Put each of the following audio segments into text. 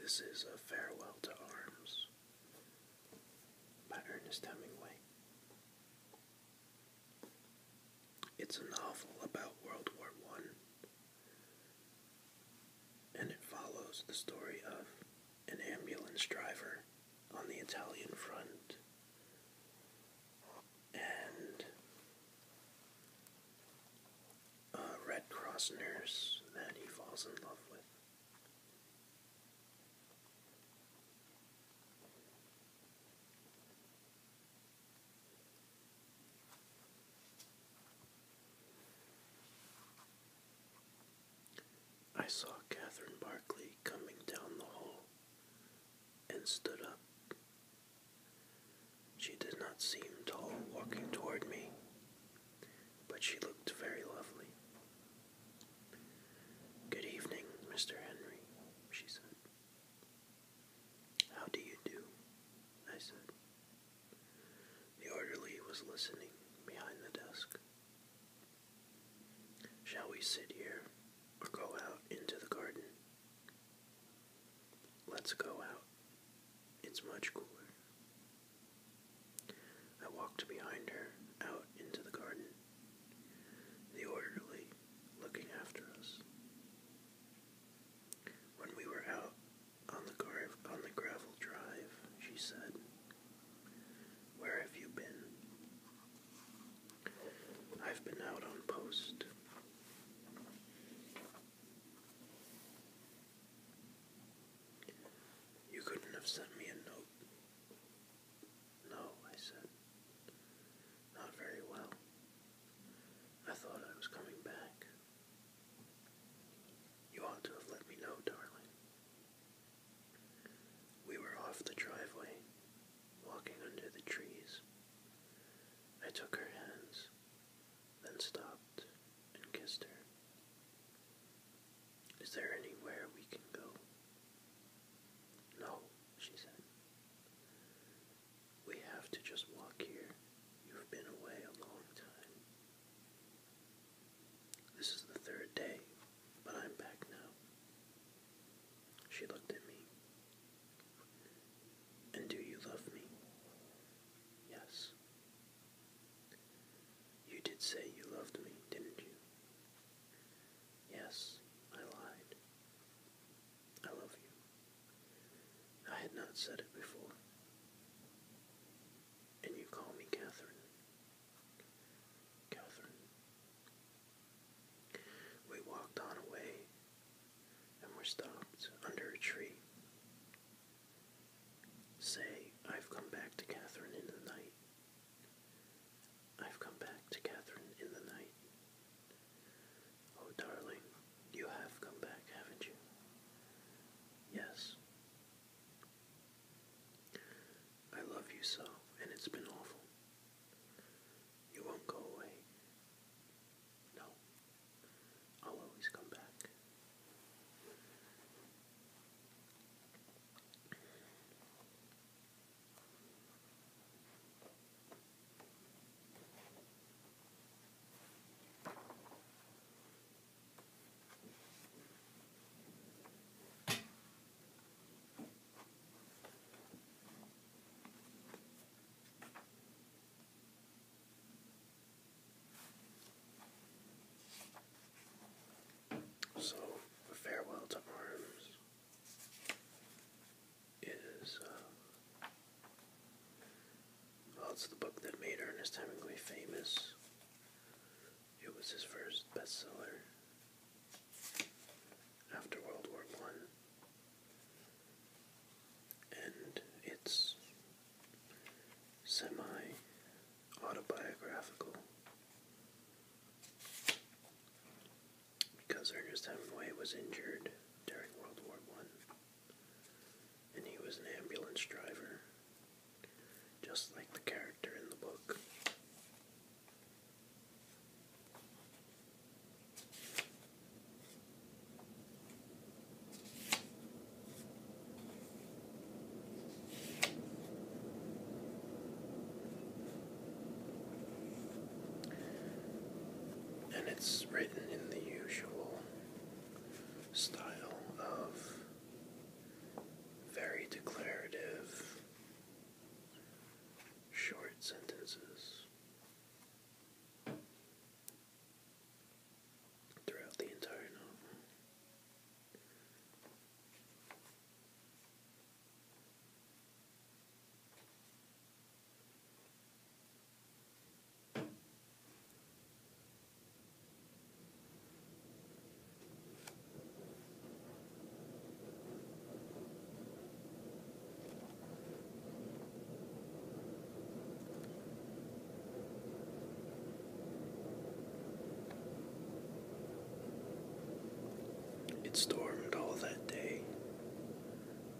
This is A Farewell to Arms by Ernest Hemingway. It's a novel about World War I, and it follows the story of an ambulance driver on the Italian front. And a Red Cross nurse that he falls in love with. I saw Katherine Barkley coming down the hall and stood up. She did not seem tall walking toward me, but she looked very lovely. Good evening, Mr. Henry, she said. How do you do? I said. The orderly was listening behind the desk. Shall we sit here or go out into the garden? Let's go out. It's much cooler. I walked behind her out into the garden, the orderly looking after us. When we were out on the, on the gravel drive, she said, where have you been? I've been out on post. You couldn't have sent me a note. No, I said. Not very well. I thought I was coming back. You ought to have let me know, darling. We were off the driveway, walking under the trees. I took her hands, then stopped and kissed her. Is there anywhere we can go? No, she said. We have to just walk here. You've been away a long time. This is the third day, but I'm back now. She looked at me. And do you love me? Yes. You did say you loved me, didn't you? Yes, I lied. I love you. I had not said it before. And you call me Catherine. Catherine. We walked on away and were stopped under a tree. Say, I've come back to Catherine in the night. I've come back to Catherine in the night. Oh, darling, you have come back, haven't you? Yes, I love you so, and it's been awful. You won't go away. No, I'll always come back. So, Farewell to Arms is, uh, well, it's the book that made Ernest Hemingway famous. It was his first bestseller after World War One, and it's semi autobiographical because Ernest Hemingway was injured during World War One, and he was an ambulance driver just like the character in the book. And it's written in the usual style of very declarative, short sentences throughout the entire novel. It stormed all that day.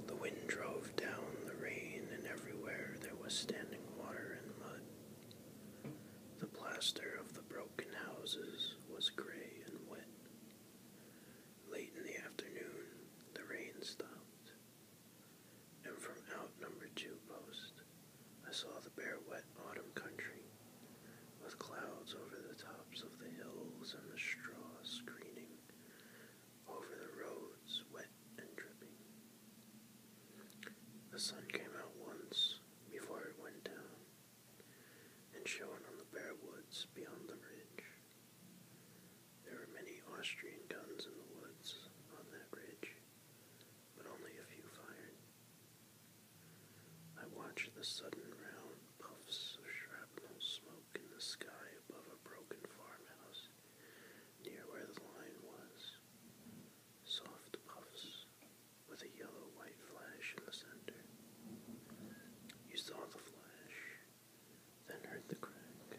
The wind drove down the rain, and everywhere there was standing water and mud. The plaster of the broken broken houses was gray and wet. Late in the afternoon, the rain stopped, and from out number two post, I saw the bare wet autumn country, with clouds over the tops of the hills and the straw screening over the roads, wet and dripping. The sun came out once before it went down and shone on the bare woods beyond the ridge. There were many Austrian guns in the woods on that ridge, but only a few fired. I watched the sudden round puffs of shrapnel smoke in the sky above a broken farmhouse near where the line was. Soft puffs with a yellow-white flash in the center. You saw the flash, then heard the crack,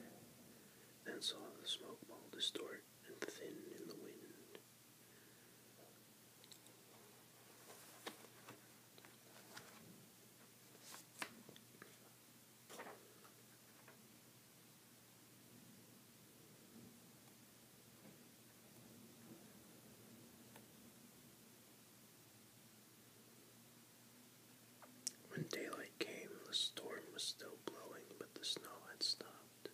then saw the smoke ball distort and thin in the wind. When daylight came, the storm was still blowing, but the snow had stopped.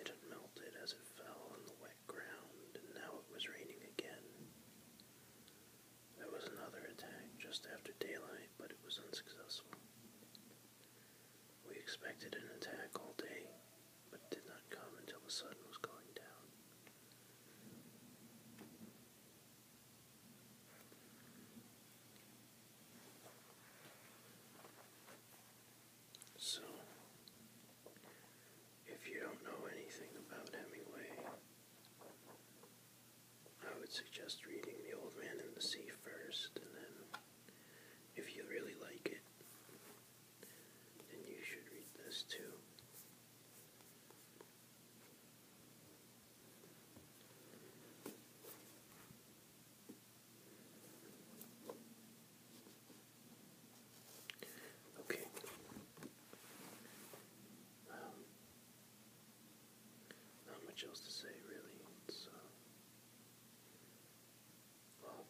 It had melted as it fell on the wet ground, and now it was raining again. There was another attack just after daylight, but it was unsuccessful. We expected an attack all day, but it did not come until the sun was going down. So, if you don't know anything about Hemingway, I would suggest reading The Old Man and the Sea first, and then if you really like it, then you should read this too. Okay. Um, not much else to say, really. It's, uh, well,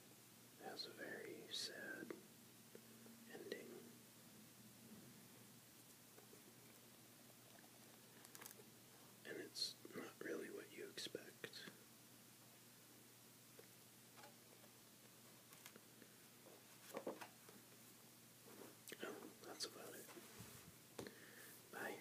has a very sad ending. And it's not really what you expect. Oh, that's about it. Bye.